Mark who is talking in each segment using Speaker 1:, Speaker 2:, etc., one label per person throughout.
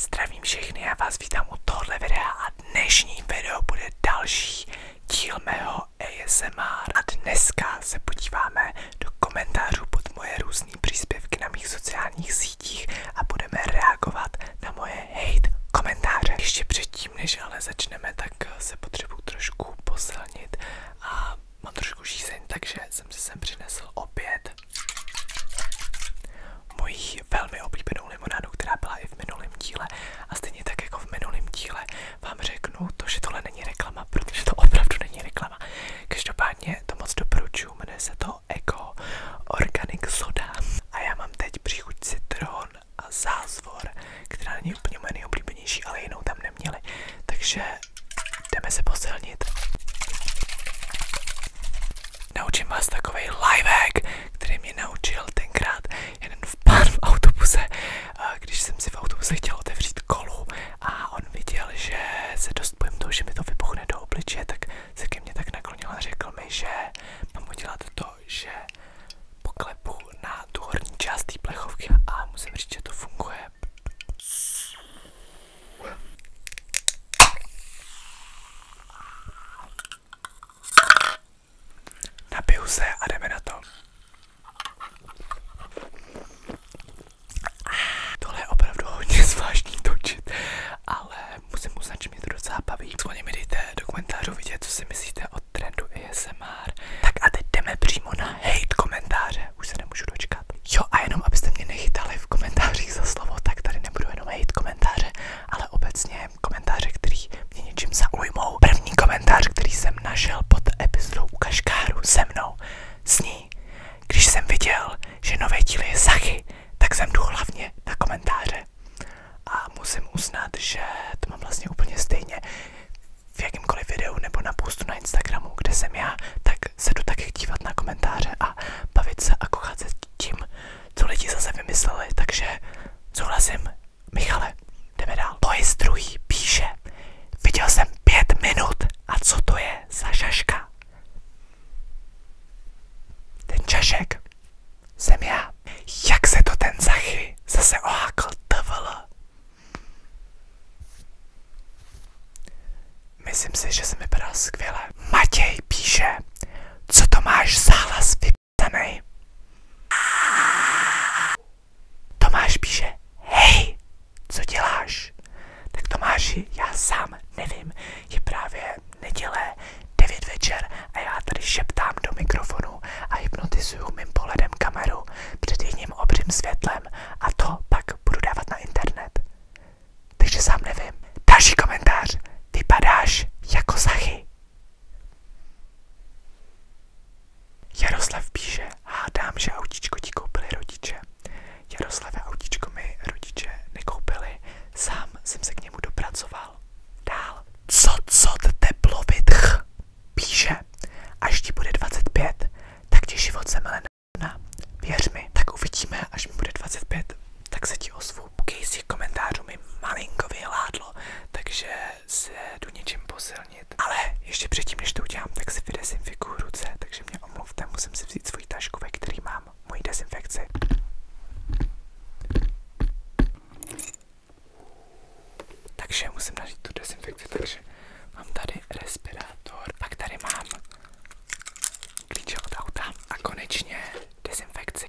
Speaker 1: Zdravím všechny, a vás vítám u tohle videa a dnešní video bude další díl mého ASMR a dneska se podíváme do komentářů pod moje různé příspěvky na mých sociálních sítích a budeme reagovat na moje hate komentáře. Ještě předtím, než ale začneme, tak se potřebuji trošku posilnit a mám trošku žízeň, takže jsem si sem přinesl opět mojí velmi oblíbenou limonádu, která byla i v minulém díle. A stejně tak jako v minulém díle vám řeknu to, že tohle není reklama, protože to opravdu není reklama. Každopádně to moc doporučuji, jmenuje se to Eco Organic Soda. A já mám teď příchuť citron a zázvor, která není úplně moje nejoblíbenější, ale jinou tam neměli. Takže jdeme se posilnit naučím vás takový live který mě naučil tenkrát jeden v pár v autobuse, když jsem si v autobuse chtěl otevřít kolu a on viděl, že se dost bojím toho, že mi to vybuchne do obličeje, tak se ke mně tak naklonil a řekl mi, že mám udělat to, že poklepu na tu horní část té plechovky a musím říct, že to funguje. Napiju se a jdeme na to. Tohle je opravdu hodně zvláštní točit, ale musím uznat, že mě to docela baví. Skloně mi dejte do komentářů vidět, co si myslíte o trendu ASMR. Tak a teď jdeme přímo na hate komentáře, už se nemůžu dočkat čekat. Jo a jenom abyste mě nechytali v komentářích za slovo, tak tady nebudu jenom hejt komentáře, ale obecně komentáře, který mě něčím zaujmou. První komentář, který jsem našel pod epizodou u Kaškáru se mnou, sní. Když jsem viděl, že nové díly je sachy, tak jsem jdu hlavně na komentáře. A musím uznat, že to mám vlastně úplně stejně v jakýmkoliv videu nebo na postu na Instagramu, kde jsem já, tak se jdu taky dívat na komentáře a bavit se a kochat se tím, co lidi zase vymysleli, takže souhlasím. Michale, jdeme dál. Boys druhý píše, viděl jsem pět minut a co to je za šaška? Ten čašek jsem já. Jak se to ten zachy zase ohákl tvl? Myslím si, že se mi vypadá skvěle. Matěj píše, co to máš za záhlas vypsaný? Tomáš píše, hej, co děláš? Tak Tomáši, já sám nevím, je právě neděle, devět večer a já tady šeptám do mikrofonu a hypnotizuju mým pohledem kameru před jedním obřím světlem způsobem a to pak budu dávat na internet. Takže sám nevím. Další komentář. Vypadáš jako Zachy. Jaroslav píše, hádám, že autíčko ti koupili rodiče. Jaroslave autíčko mi rodiče nekoupili, sám jsem se k němu dopracoval. Dál. Co, co, teplovitch? Píše, až ti bude 25, tak ti život semele na věř tak uvidíme, až mi bude 25, tak se ti ozvu. Casey komentářů mi malinko vyhládlo, takže se jdu něčím Ale ještě předtím, než to udělám, tak si vydezinfikuju ruce, takže mě omluvte, musím si vzít svoji tašku, který mám moji dezinfekci. Takže musím nažít tu dezinfekci, Mám tady respirátor, pak tady mám klíče od auta a konečně dezinfekci.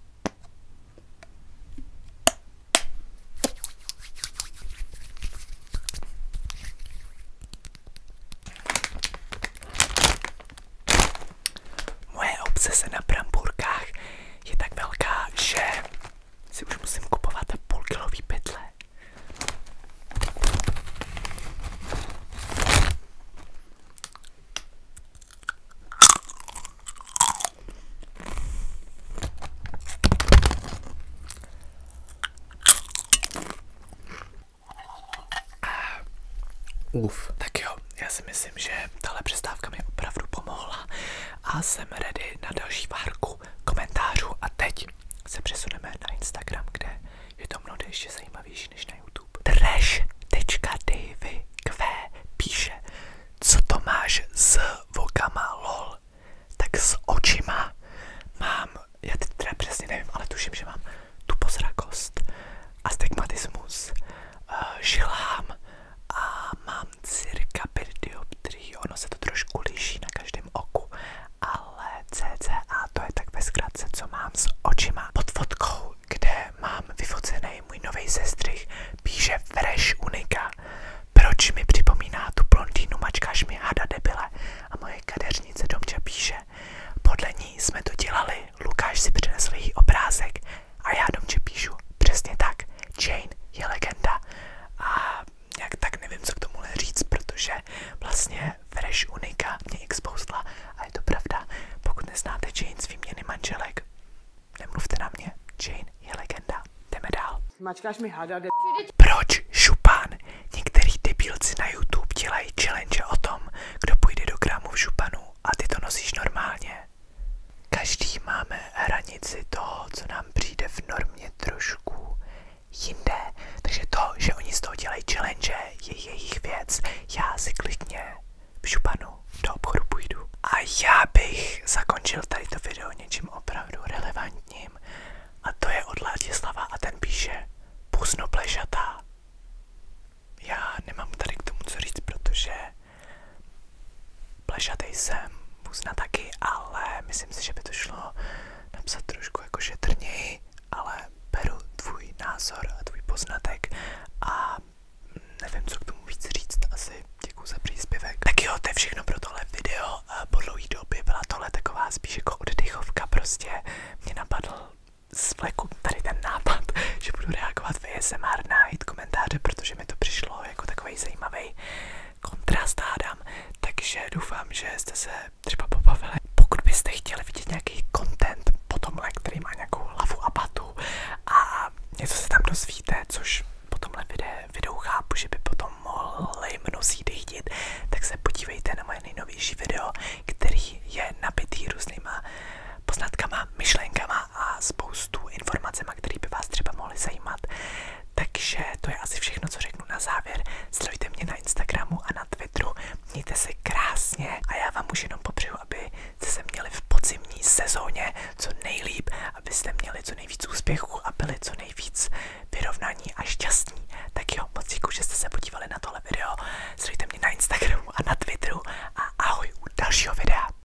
Speaker 1: Moje obsese na brambůrkách je tak velká, že si už musím kupovat půlkilový pytle. Uf, tak jo, já si myslím, že tahle přestávka mi opravdu pomohla a jsem ready na další várku komentářů a teď se přesuneme na Instagram, kde je to mnohdy ještě zajímavější než na YouTube. Trash.davy Q píše, co to máš s vokama lol, tak s očima mám, já teď teda přesně nevím, ale tuším, že mám tu tupozrakost, astigmatismus, eh, žilhám a mám mám cirka 5 dioptrií, ono se to trošku liší na každém oku, ale cca to je tak ve zkratce, co mám s očima. Pod fotkou, kde mám vyfocený můj nový sestřih, píše Fresh Unika. Proč mi připomíná tu blondýnu, mačkáš mi hada debile? A moje kadeřnice Domča píše, podle ní jsme to dělali, Lukáš si přinesl její obrázek a já Domče píšu, přesně tak, Jane je legenda. A nějak tak nevím, co k tomuhle říct, protože vlastně Fresh Unika mě expoustla to pravda. Pokud neznáte Jane z výměny manželek, nemluvte na mě, Jane je legenda. Jdeme dál. Mačkáš mi hada, de... Proč šupán? Některý debilci na YouTube dělají challenge o tom, kdo půjde do gramu v šupanu a ty to nosíš normálně. Každý máme hranici toho, co nám přijde v normě trošku jinde. Takže to, že oni z toho dělají challenge, je jejich věc. Já si klidně v šupanu do obchodu půjdu. A já bych zakončil tady to video něčím opravdu relevantním. A to je od Ladislava a ten píše Puzno plešatá. Já nemám tady k tomu co říct, protože Plešatej jsem, buzna taky, ale myslím si, že by to šlo napsat trošku jako šetrněji, ale beru tvůj názor a tvůj poznatek a nevím, co k tomu víc říct, asi děkuji za příspěvek. Tak jo, to je všechno pro tohle video, po dlouhé době byla tohle taková spíš jako oddechovka, prostě mě napadl z vleku tady ten nápad, že budu reagovat v ASMR na hit komentáře, protože mi to přišlo jako takový zajímavý zajímavý kontrast hádám, takže doufám, že jste se třeba pobavili. Pokud byste chtěli vidět nějaký content po tomhle, který má nějakou hlavu a patu a něco se tam dozvíte, což po tomhle videu, videu chápu, že by potom mohli mnozí dechtit, tak se podívejte na moje nejnovější video, který je nabitý různýma poznatkama, myšlenkama a spoustu informacemi, které by vás třeba mohly zajímat. Takže to je asi všechno, co řeknu na závěr. Sledujte mě na Instagramu a na Twitteru. Mějte se krásně a já vám už jenom popřeju, aby jste se měli v podzimní sezóně co nejlíp, abyste měli co nejvíc úspěchů a byli co nejvíc vyrovnaní a šťastní. Tak jo, moc děkuji, že jste se podívali na tohle video. Sledujte mě na Instagramu a na Twitteru a ahoj u dalšího videa.